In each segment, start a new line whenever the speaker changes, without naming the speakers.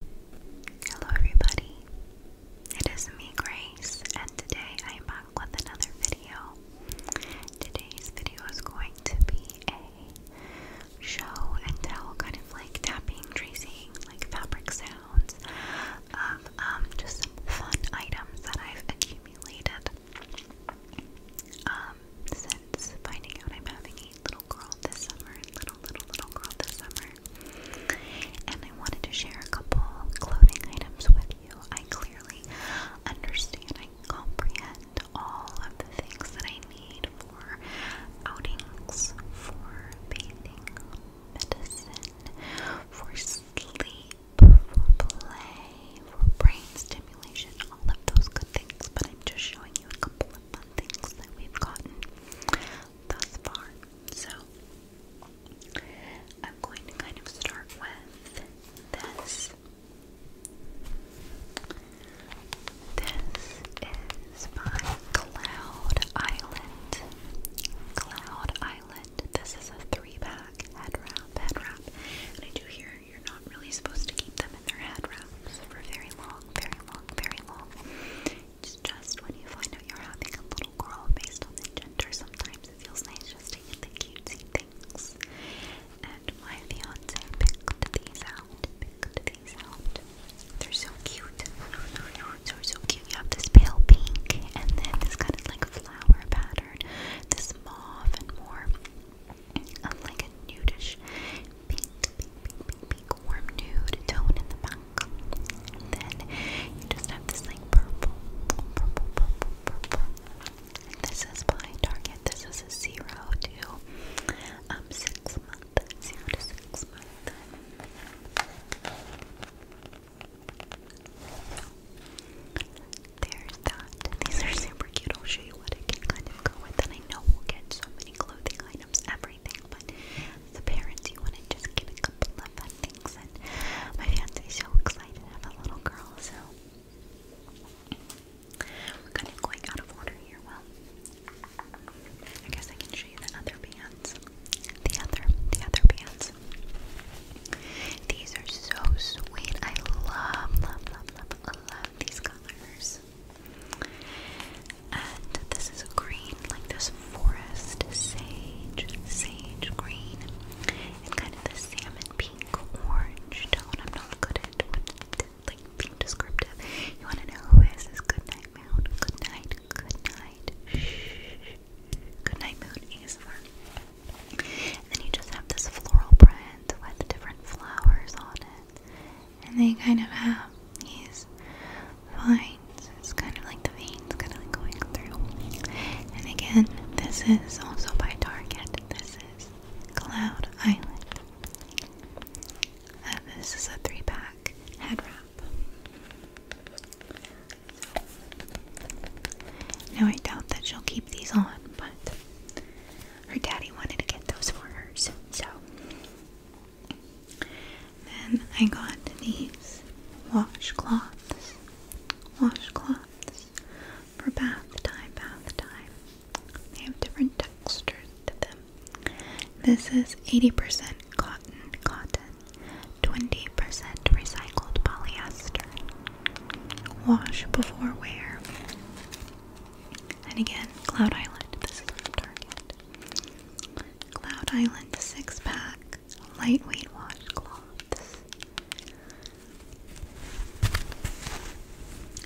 Hello, everybody. It is me, Grace, and today I am back with another video. Today's video is going to be a show and tell, kind of like tapping, tracing, like fabric sounds of um, just some fun items that I've accumulated um, since finding out I'm having a little girl this summer, little, little, little girl this summer. And I wanted to share a couple clothing items with you. I clearly understand, I comprehend all of the things that I need for outings, for bathing, medicine, for sleep, for play, for brainstem all of those good things, but I'm just showing you a couple of fun things that we've gotten thus far. So, I'm going to kind of start with this. This is by Cloud Island. Cloud Island. This is a three pack head wrap, head wrap. And I do hear you're not really supposed to keep them in their head wraps for very long, very long, very long. It's just when you find out you're having a little girl based on the gender, sometimes it feels nice just to get the cutesy things. And my fiance picked these out, picked these out. They're so cute. They're so cute. You have this pale pink and then this kind of like flower pattern, this mauve and more of like a nudish pink, pink, pink, pink, warm nude tone in the back. then you just have this like purple, purple, purple, purple. And this is by Target. This is a zero to um six month, zero to six month there's that. These are super cute. I'll show you what I can kind of go with. And I know we'll get so many clothing items, everything, but the parents, you want to just get a couple of fun things. And my fiance's so excited to a little girl, so we're kind of going out of order here. Well, I guess I can show you the other pants. The other, the other pants. These are so sweet. I love, love, love, love, love these colors. And this is a green, like this forest sage, sage green, and kind of the salmon pink orange tone. I'm not good at like being descriptive. You want to know who is Good night, moon. Good night. Good night. Shh. Good night, moon. And then you just have this floral print with different flowers on and they kind of have these lines. It's kind of like the veins kind of like going through. And again, this is also by Target. This is Cloud Island. Uh, this is a three pack head wrap. now I doubt that she'll keep these on, but her daddy wanted to get those for her, so. Then I got these washcloths, washcloths for bath time, bath time. They have different textures to them. This is 80% cotton, cotton, 20% recycled polyester. Wash before wear. And again, Cloud Island. This is from Target. Cloud Island six pack lightweight washcloths.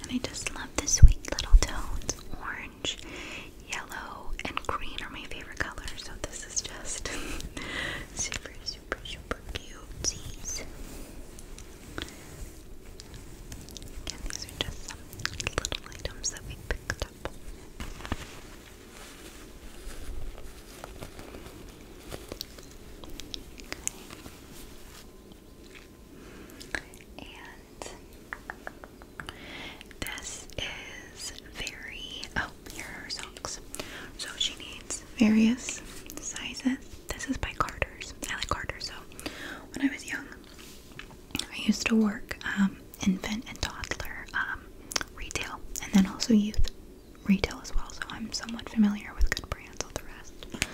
And I just love the sweet little tones. Orange, yellow, and green are my favorite colors. So this is just super, super, super cute. Again, these are just some little items that we picked up. And this is very, oh, here are socks. So she needs various sizes. This is by Carter's. I like Carter's. So when I was young, I used to work um, infant and toddler um, retail, and then also youth retail as well. So I'm somewhat familiar with good brands. All the rest.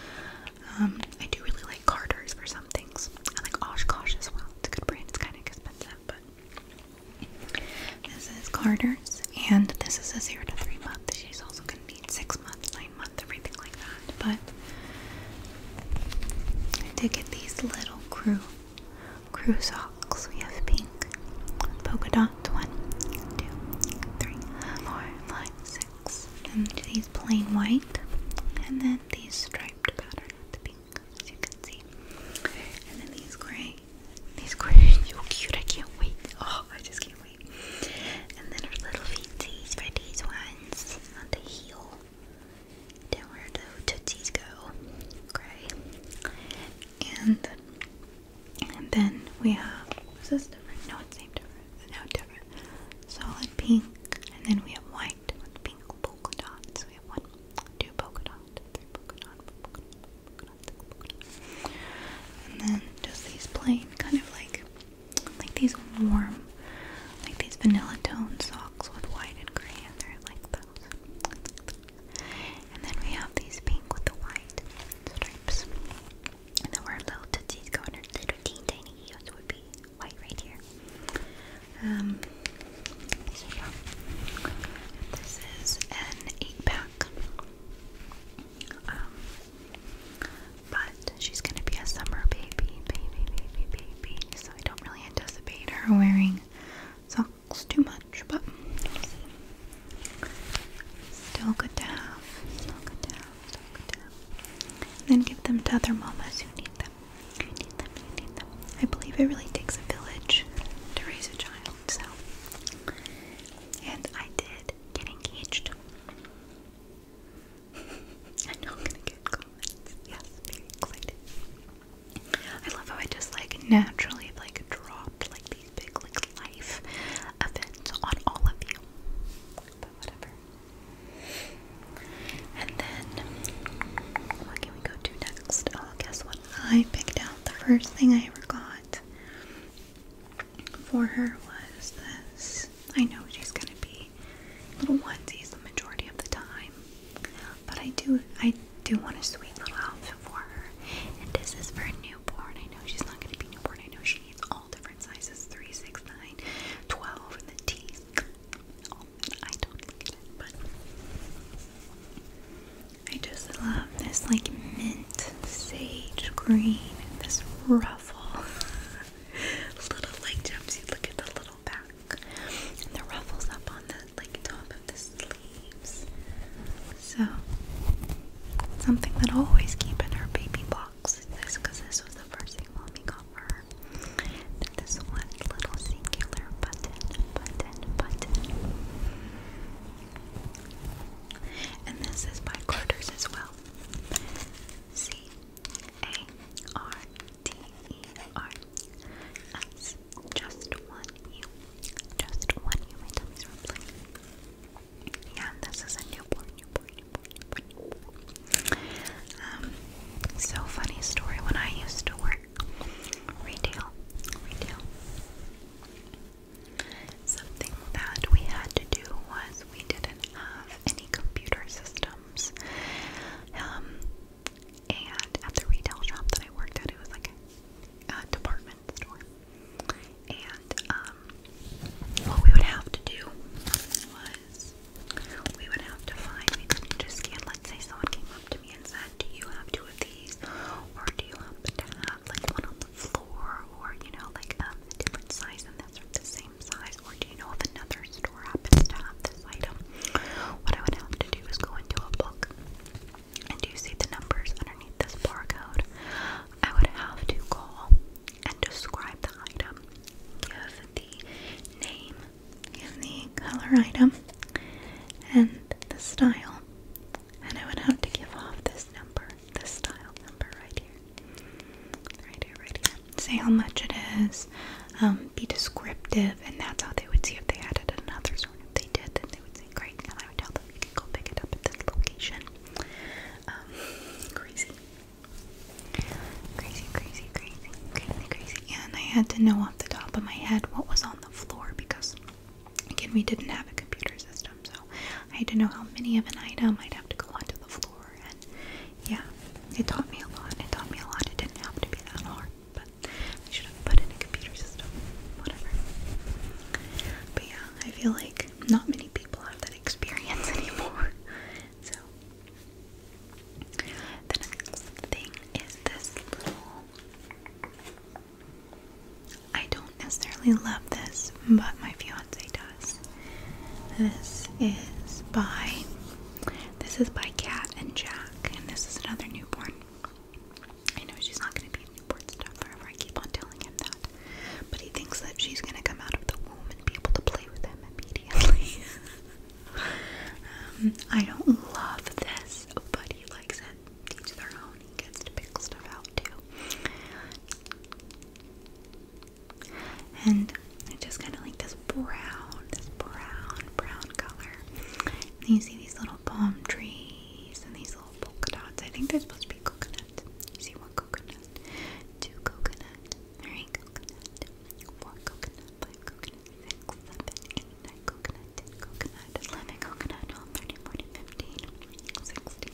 Um, I do really like Carter's for some things. I like Oshkosh as well. It's a good brand. It's kind of expensive, but. This is Carter's, and this is a zero to three month. She's also gonna be six months, nine month, everything like that. But I did get these little crew crew socks. We have pink polka dots. One, two, three, four, five, six. And these plain white. And then these striped pattern with the pink, as you can see. And then these gray. These gray so cute. I can't wait. Oh, I just can't wait. And then her little fingies for ones on the heel. Then where the tootsies go. Okay. And and then we have is this different? No, it seemed different. No different. Solid pink. And then we have white with pink polka dots. We have one, two polka dots, three polka dots, polka dots, polka dots, polka dots. And then just these plain kind of like like these warm, like these vanilla tone socks with white and gray in there, like those. And then we have these pink with the white stripes. And then our little tootsies going her little teen tiny heels would be white right here. Um, so yeah, this is an eight pack. Um, but she's gonna be a summer baby, baby, baby, baby. So I don't really anticipate her wearing socks too much, but still good to have. Still good to have. Still good to have. then give them to other mamas who need them. Who need them? Who need them? I believe it really takes a village to raise a child. So, and I did get engaged. I know I'm gonna get comments. Yes, very excited. I love how I just like naturally like dropped like these big like life events on all of you. But whatever. And then what can we go to next? Oh guess what? I picked out the first thing I ever got for her was this. I know she's gonna be little onesies the majority of the time, but I do I do want a sweet little outfit for her. And this is for a newborn. I know she's not gonna be newborn. I know she needs all different sizes: three, six, nine, twelve, and the tees. I don't get it, but I just love this like mint sage green and this ruffle. little like jumpsuit. Look at the little back and the ruffles up on the like top of the sleeves. So something that I always keep in her baby box. This because this was the first thing mommy got for her. this one little singular button, button, button. And this is by Carter's as well. See, a R T E R S. Just one U. Just one U. Yeah, this is a newborn, newborn, newborn. Um, so funny story. When I used to work retail, retail. Something that we had to do was we didn't have any computer systems. Um, and at the retail shop that I worked at, it was like a, department store. And um, what we would have to do was we would have to find, we couldn't just scan. let say someone came up to me and said, Do you have two of these? Or do you have like one on the floor? Or, you know, like um, a different size that's from the same size, or do you know if another store happens to this item? What I would have to do is go into a book, and do you see the numbers underneath this barcode? I would have to call and describe the item, give the name, give the color item, and the style, and I would have to give off this number this style number right here. Right here, right here. Say how much it is. Um, be descriptive, and that's how they would see if they added another sort. If they did, then they would say, "Great!" And I would tell them, "You can go pick it up at this location." Um, crazy, crazy, crazy, crazy, crazy, crazy. And I had to know off the top of my head what was on the floor because, again, we didn't have a computer system, so I had to know how many of an item I'd have to go onto the floor yeah, it taught me a lot. It taught me a lot. It didn't have to be that hard, but I should have put in a computer system, whatever. But yeah, I feel like not many people have that experience anymore. So the next thing is this I don't necessarily love this, but my fiance does. This is by this is by Cat and Jack, and this is another newborn. I know she's not gonna be a newborn stuff forever. I keep on telling him that. But he thinks that she's gonna come out of the womb and be able to play with him immediately. Um, I don't love this, but he likes it. Each their own. He gets to pick stuff out too and it's just kind of like this brown, this brown, brown color. And you see these little palm trees and these little polka dots. I think they're supposed to be coconut. You see one coconut, two coconut, three coconut, one coconut, five coconut, six, seven, eight, nine coconut, ten coconut, eleven coconut, 12, 13, 14, 15, 16,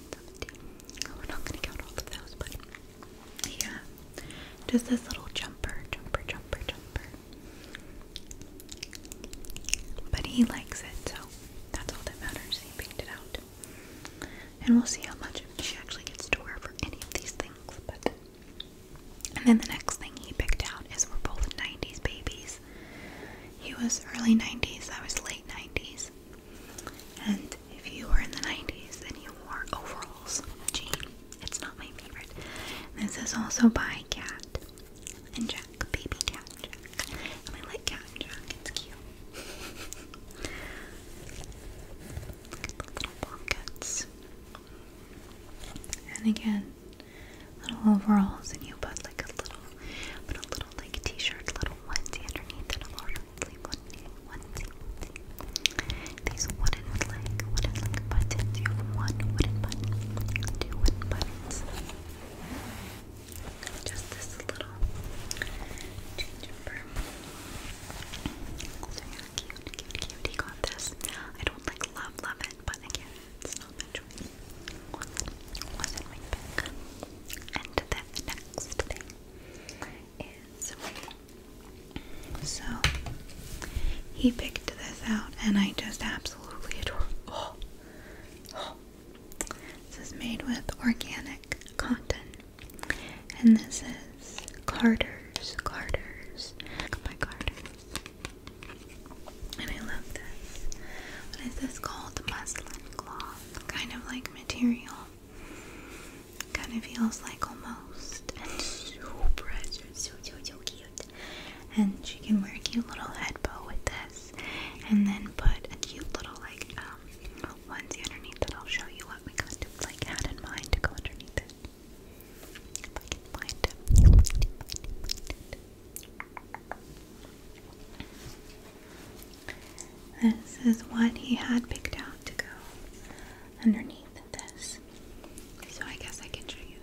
17. not gonna count all of those, but yeah. Just this little jumper, jumper, jumper, jumper. But he likes it, so that's all that matters. He picked it out. And we'll see how much she actually gets to wear for any of these things. But and then the next thing he picked out is we're both 90s babies. He was early 90s, I was late 90s. And if you were in the 90s, then you wore overalls. Jean. It's not my favorite. This is also by Cat and Jack. Baby Cat and Jack. And I like Cat and Jack. It's cute. Look at the little pockets. And again, little overalls, and you put like a little, put a little like t-shirt, little onesie underneath it, a little onesie, onesie, onesie. These wooden like like buttons. You have one wooden button, two wooden buttons. Just this little gingerbread. So yeah, cute, cute, cute. got this. I don't like love, love it, but again, it's not my choice. Wasn't, my pick. And the next thing is. So he picked this out, and I just absolutely adore. Oh, oh. This is made with organic cotton, and this is Carter's, Carter's, by Carter's. And I love this. What is this called? Muslin cloth, kind of like material. Kind of feels like almost. And so precious, so, so, so cute. And she can wear a cute little head bow with this. And then put a cute little, like, um, onesie underneath it. I'll show you what we kind of, like, had in mind to go underneath it. If I can find it. This is what he had picked out to go underneath this. So I guess I can show you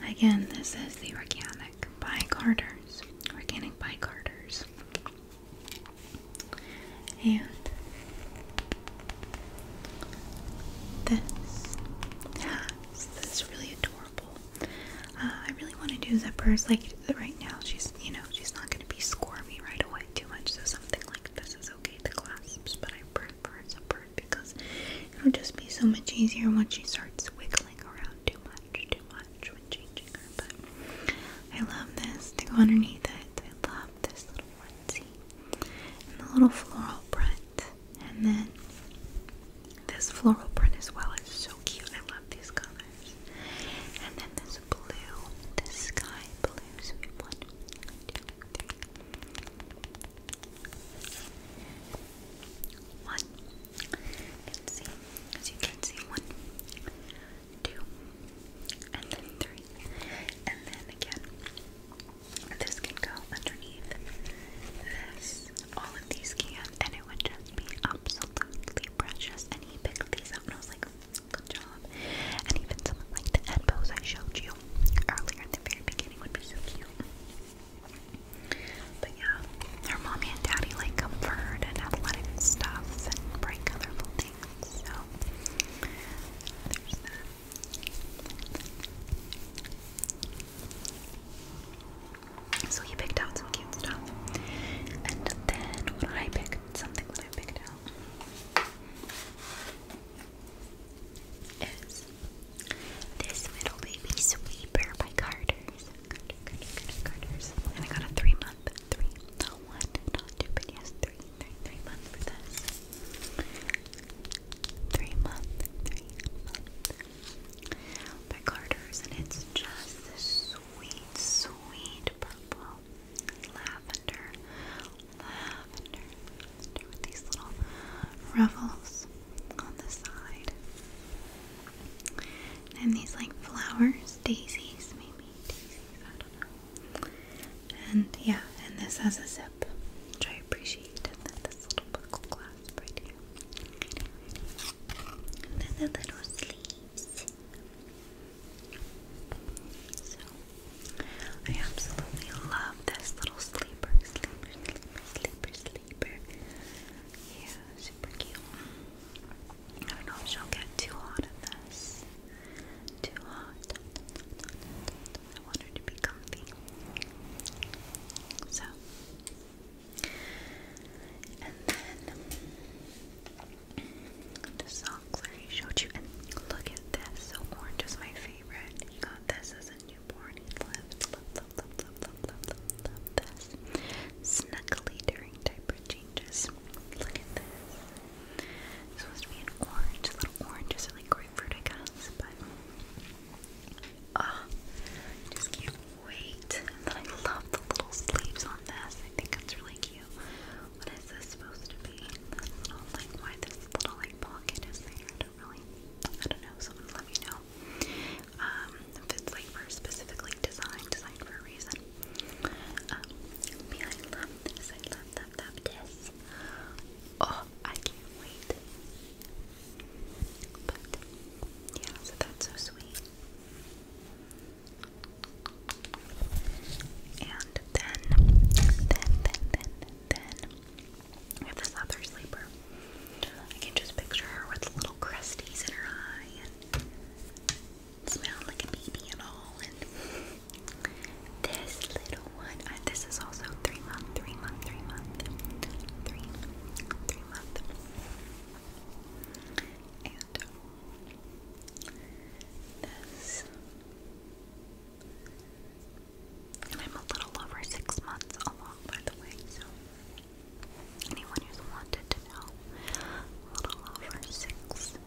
that. Again, this is the organic by Carter's. Organic by Carter's. And this has this really adorable. Uh, I really want to do zippers like right now. She's you know, she's not going to be squirmy right away too much. So something like this is okay, to clasps, but I prefer separate because it'll just be so much easier once she starts wiggling around too much, too much when changing her. But I love this to go underneath it. I love this little onesie and the little floral print, and then this floral print as well is so cute. I love these colors colors. And then this blue, this sky blue. So we have one, two, three. One. Let's see. As you can see, one, two, and then three. And then again, this can go underneath this. All of these can, and it would just be absolutely precious. And he picked these up, and I was like, Good job. And even something like the head I showed you earlier in the very beginning would be so cute. But yeah, her mommy and daddy like comfort and athletic stuffs and bright colorful things. So there's that. So you picked out some cute stuff. And then what did I pick? something that I picked out is this little baby sweeper by Carter's. And I got a three month, three, not one, not two, but yes, three, three, three month for this. Three month, three month by Carter's, and it's just this sweet, sweet purple lavender, lavender, with these little ruffles on the side. And these like flowers, daisies, maybe daisies, I don't know. And yeah, and this has a zip, which I appreciate. And this little buckle clasp right here. And then the little sleeves. So, I absolutely love this little sleeper, sleeper, sleeper, sleeper, sleeper. Yeah, super cute. I don't know if she'll get too hot in this. Too hot. I want her to be comfy. So, and then the socks already showed you. look at this. So orange is my favorite. He got this as a newborn. He loved, loved, loved, loved, loved, loved, this. Snuggly during diaper changes. Look at this. supposed to be an orange. Little oranges are like grapefruit, I guess. But ah, just can't wait. I love the little sleeves on this. I think it's really cute. What is this supposed to be? like, why this little, like, pocket is there? I don't really, I don't know. Someone let me know. Um, if it's, like, for specifically designed, designed for a reason. Um, oh, I can't wait. But, yeah, so that's so sweet. And then, then, then, then, then, we have this other sleeper. I can just picture her with little crusties in her eye and smelling like a baby and all. And this little one, this is also three month, three month, three month, three, three month. I'm a little over six months along, by the way, so anyone who's wanted to know, little over six,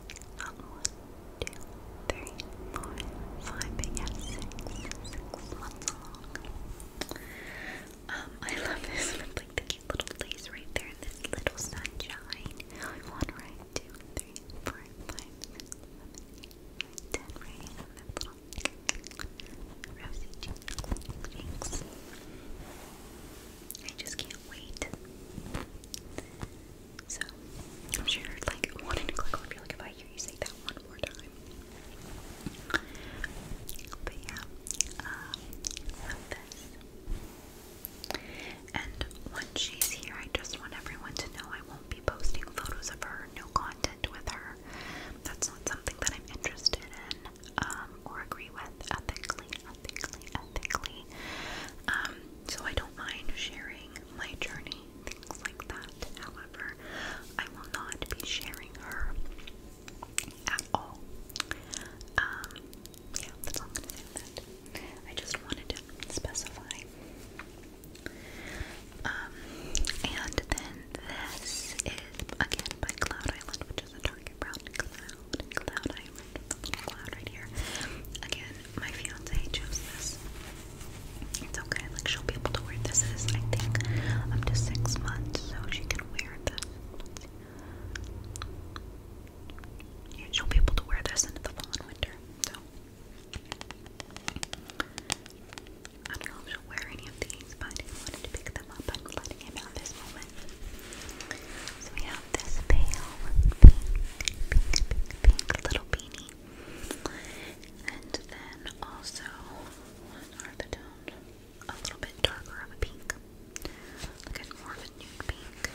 um, one, two, three, four, five, but six, six months along. Um, I love this little place right there this little sunshine. One little rosy cheeks. I just can't wait. So, I'm sure like wanting to click on you like if I hear you say that one more time. But yeah, love um, this. And when she's here, I just want everyone to know I won't be posting photos of her, no content with her. That's not something that I'm interested in um, or agree with ethically, ethically, ethically. Um, so I don't mind sharing my journey, things like that. However, I will not be sharing her at all. Um, yeah, that's all i gonna say that. I just wanted to specify. Um, and then this is again by Cloud Island, which is a Target Brown Cloud. Cloud Island, cloud right here. Again, my fiance chose this. It's okay, like she'll be able to wear this is I think up to six months, so she can wear this you'll be able to wear this into the fall and winter. So I don't know if you'll wear any of these, but wanted to pick them up, I'm letting him out this moment. So we have this pale pink, pink, pink, little beanie. And then also, A little bit darker of a pink. Look at more of a nude pink,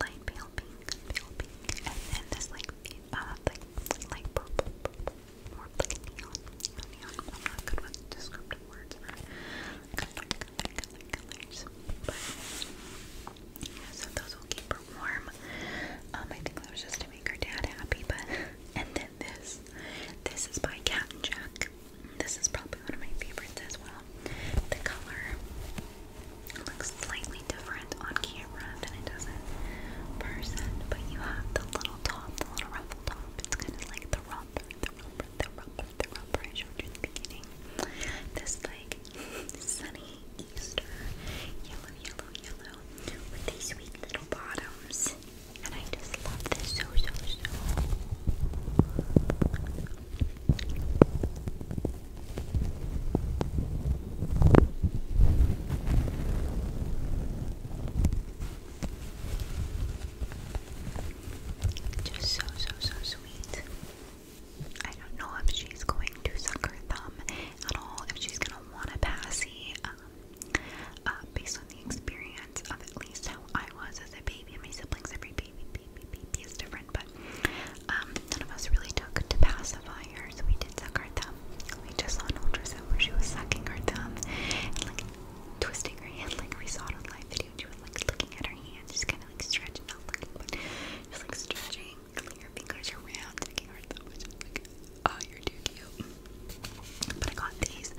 light pale pink, pale pink, and then this like uh like light purple, purple more like neon, neon. I'm not good with descriptive words for color, color, color, colors, but yeah, so those will keep her warm. Um, I think that was just to make her dad happy, but and then this, this is by Cat Jack. This is probably one of my favorites as well. The color looks slightly different on camera than it does in person, but you have the little top, the little ruffle top. It's kind of like the romper, the romper, the romper, the romper I showed you in the beginning. This like sunny Easter yellow, yellow, yellow with these sweet little bottoms. And I just love this so, so, so. Just so, so, so sweet. I don't know if she's going to suck her thumb at all, if she's going to want a passy, um, uh, based on the experience of at least how I was as a baby and my siblings, every baby beep, beep, is different, but um, none of us really took to pacifiers. We did suck our thumb. We just saw an ultrasound where she was sucking her thumb and like twisting her hand, like we saw it on live video. and She was like looking at her hand, just kind of like stretching, not looking, but just like stretching, clicking her fingers around, taking her thumb, which like, oh, you're too cute. But I got these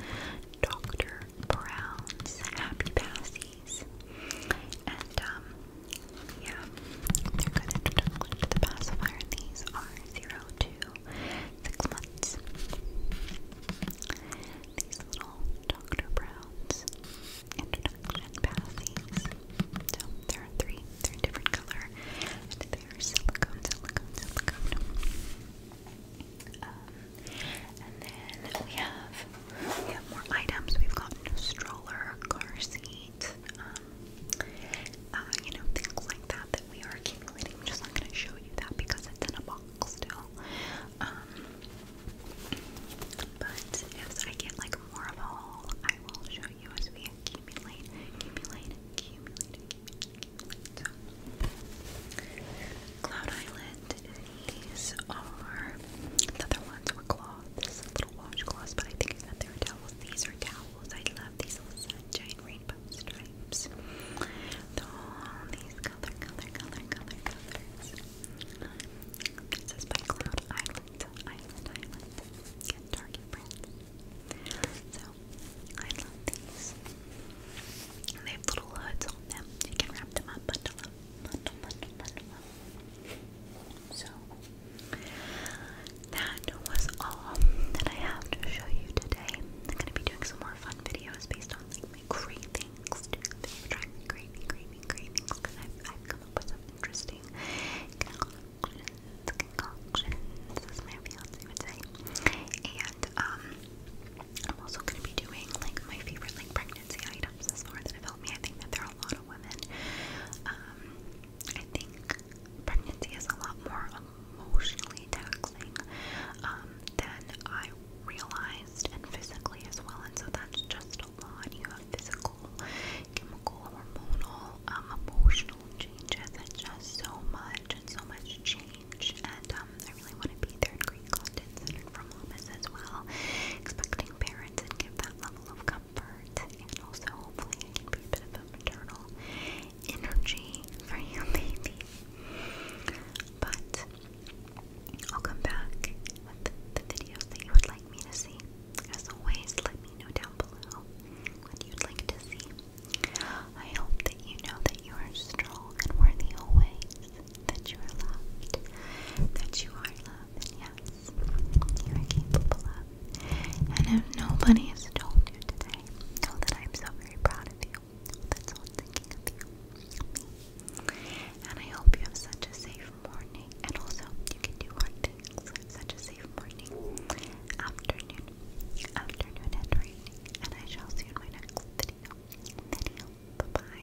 Dr. Brown's Happy Passy these. And um, yeah, they're good introduction to the pacifier. These are zero to six months. These little Dr. Brown's introduction pathies. So there are three, they're different color. And they are silicone, silicone, silicone. Um, and then we have we have more items. We've got stroller, car seat, um, uh, you know, things like that that we are accumulating. just not gonna show you that because it's in a box still. Um, but if I get like more of a haul, I will show you as we accumulate, accumulate, accumulate, accumulate. Cloud Island these are, the other ones were cloths, little washcloths, but I think I they were towels. These are towels. I love these little sunshine rainbow stripes. With all these color, color, color, color, colors. It says by Cloud Island, Island, Island. Get Target brand. So, I love these. they have little hoods on them. You can wrap them up, bundle up, bundle, bundle, bundle so, that was all that I have to show you today. I'm going to be doing some more fun videos based on like my cravings. I've tried craving, craving, because I've, come up with some interesting concoctions. Concoctions, as my fiance would say. And, um, I'm also going to be doing like my favorite like pregnancy fancy items is more than it helped me. I think that there are a lot of women. Um, I think pregnancy is a lot more emotionally taxing um, than I realized, and physically as well. And so that's just a lot. You have physical, chemical, hormonal, um, emotional changes. It's just so much and so much change. And um, I really want to be third grade content centered for mamas as well. Expecting parents and give that level of comfort and also hopefully be a bit of a maternal energy for your baby. But I'll come back with the videos that you would like me to see. As always, let me know down below what you'd like to see. I hope that you know that you are strong and worthy always that you are loved, that you are loved, and yes, you are capable of. And if nobody has told you today, know that I'm so very proud of you. That's all I'm thinking of you. And I hope you have such a safe morning, and also you can do hard things. Such a safe morning, afternoon, afternoon, and evening. And I shall see in my next video. Video. Bye bye.